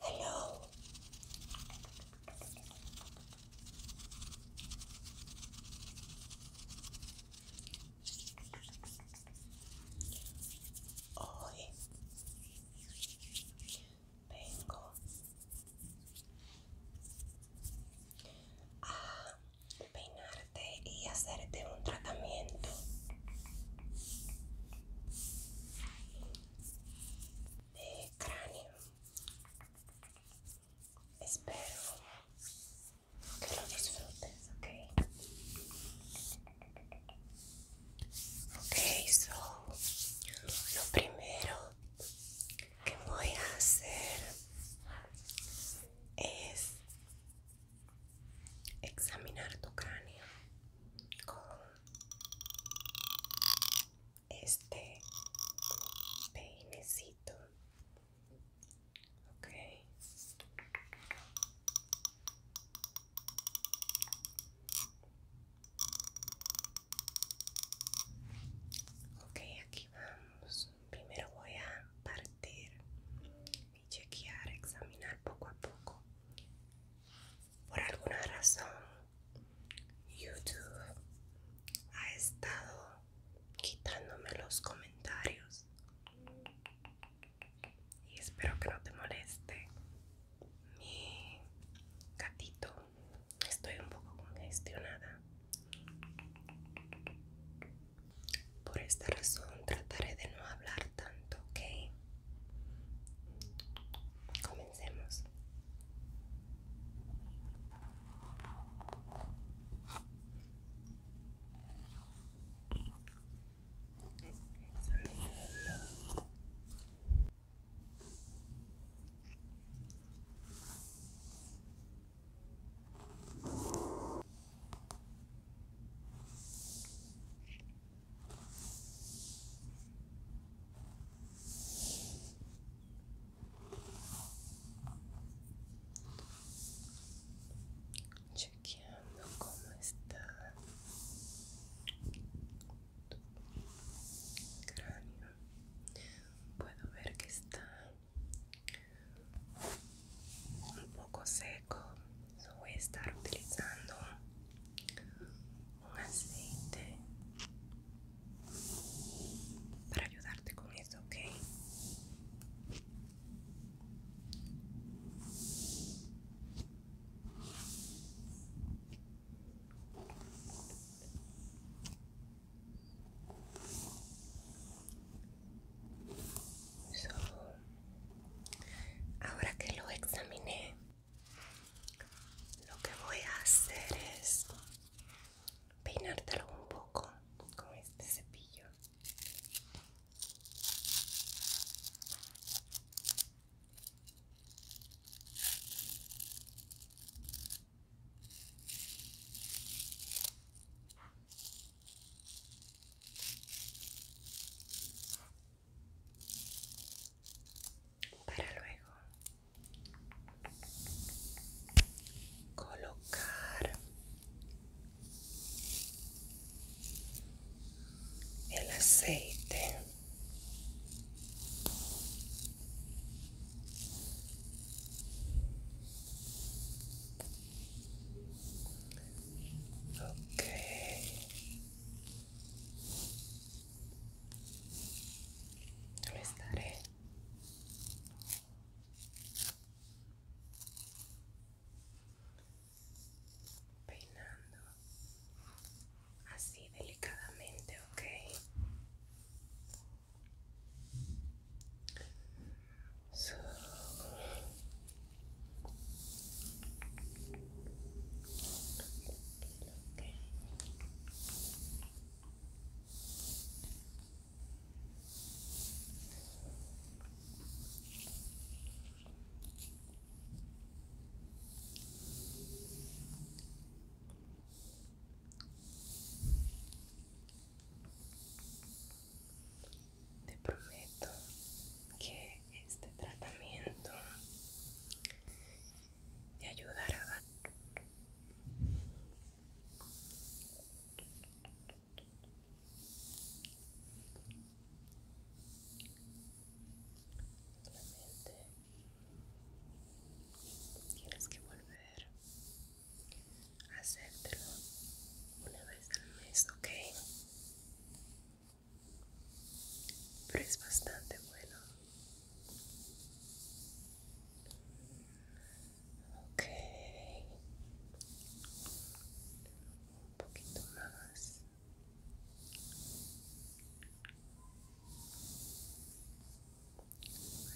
Hello. Hoy vengo a peinarte y hacerte un tratamiento de cráneo. Espero que lo disfrutes, ¿ok? Okay, so lo primero que voy a hacer es examinar tu cráneo con este peinecito okay, okay, aquí vamos primero voy a partir y chequear examinar poco a poco por alguna razón YouTube ha estado quitándome los comentarios y espero que no te moleste mi gatito estoy un poco congestionada por esta razón trataré de no hablar tanto, ¿ok? Comencemos. Chequeando cómo está tu cráneo. Puedo ver que está un poco seco voy a estar utilizando un aceite para ayudarte con esto, ¿ok? ahora que lo examiné lo que voy a hacer es peinártelo un poco con este cepillo para luego colocar el aceite ok yo les peinando así delicadamente, ¿ok? Te prometo que este tratamiento te ayudará solamente tienes que volver a hacértelo una vez al mes ok pero es bastante bueno. Ok, un poquito más.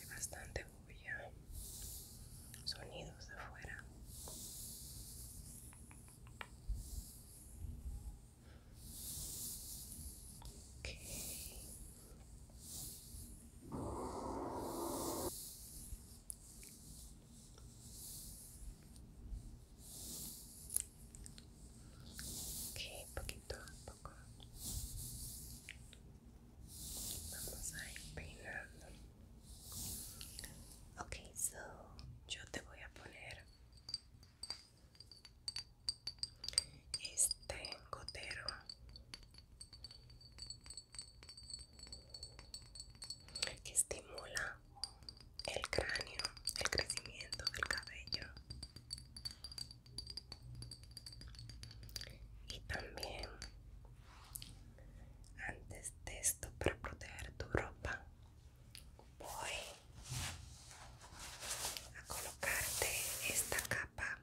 Hay bastante bulla, sonidos de afuera. Okay. ok, poquito poco vamos a ir peinando ok, so yo te voy a poner este gotero que estimula el cráneo, el crecimiento del cabello y también antes de esto para proteger tu ropa voy a colocarte esta capa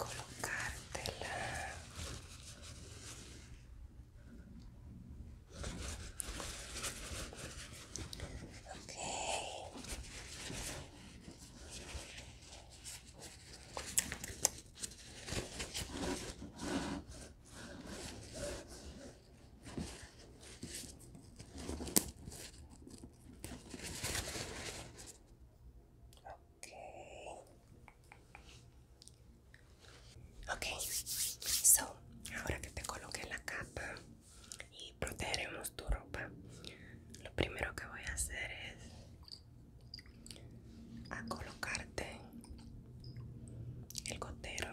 Okay cartela Okay Okay. ok, so ahora que te coloqué la capa y protegeremos tu ropa, lo primero que voy a hacer es a colocarte el gotero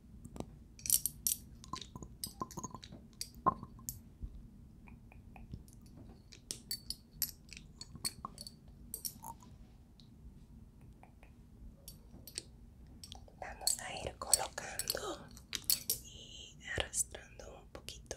Vamos a ir colocando y arrastrando un poquito.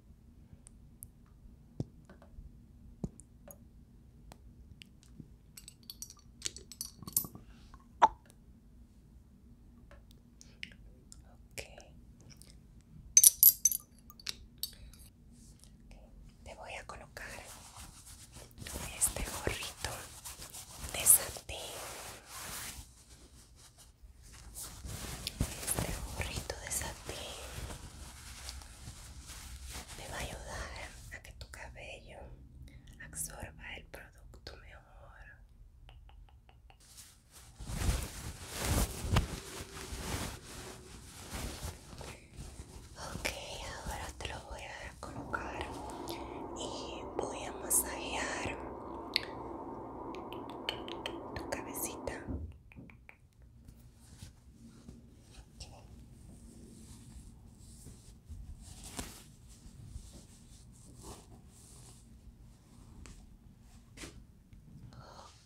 Okay. te voy a colocar este gorrito de satín, este gorrito de satín me va a ayudar a que tu cabello absorba el producto mi amor. Ok, ahora te lo voy a colocar y voy a masajear tu cabecita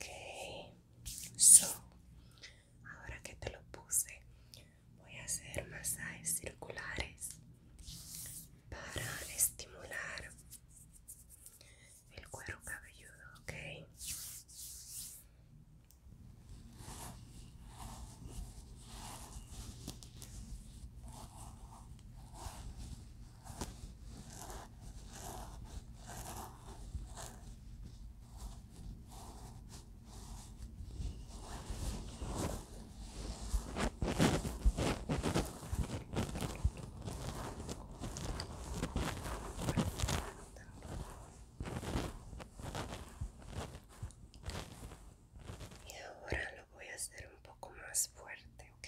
Okay, so ahora que te lo puse, voy a hacer masajes circulares para estimular el cuero cabelludo, okay. Y ahora lo voy a hacer un poco más fuerte, ¿ok?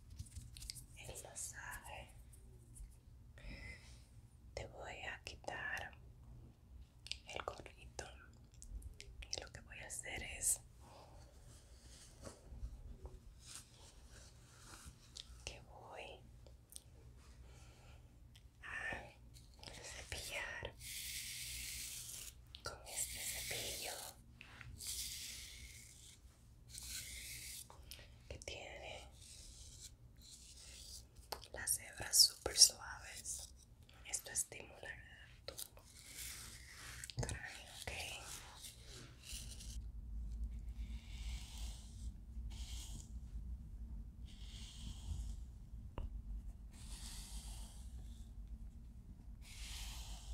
el masaje Te voy a quitar el gorrito y lo que voy a hacer es que voy a cepillar con este cepillo que tiene las hebras súper suaves. Esto estimulará tu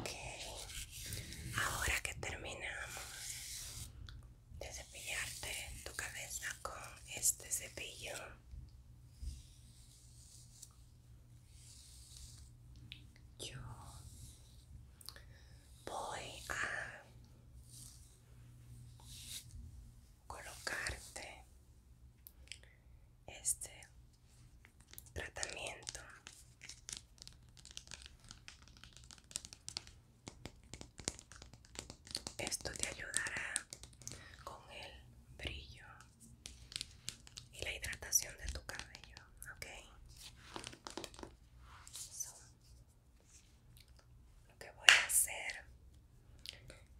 Ok, ahora que terminamos, de cepillarte tu cabeza con este cepillo yo voy a colocarte este tratamiento esto te ayudará con el brillo y la hidratación de tu cabello, ¿ok? lo que voy a hacer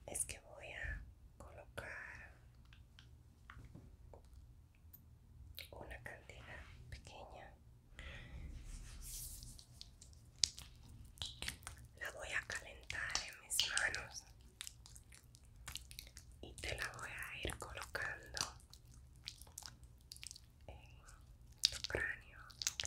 es que voy a colocar una cantidad pequeña la voy a calentar en mis manos y te la voy a ir colocando en tu cráneo, ok.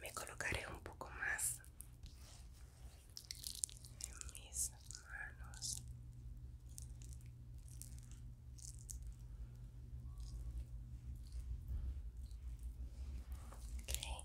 Me colocaré un poco más en mis manos. Okay.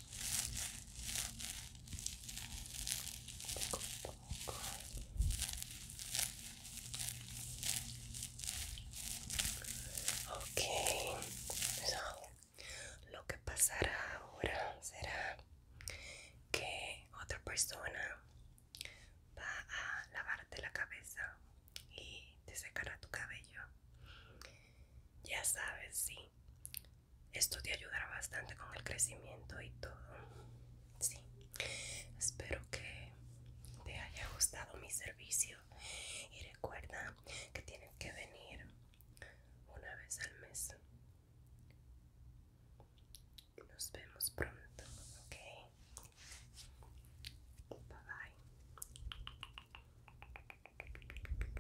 ok pues lo que pasará ahora será que otra persona va a lavarte la cabeza y te secará tu cabello ya sabes ¿sí? Esto te ayudará bastante con el crecimiento y todo. Sí. Espero que te haya gustado mi servicio. Y recuerda que tienes que venir una vez al mes. Nos vemos pronto, ¿ok? Bye bye.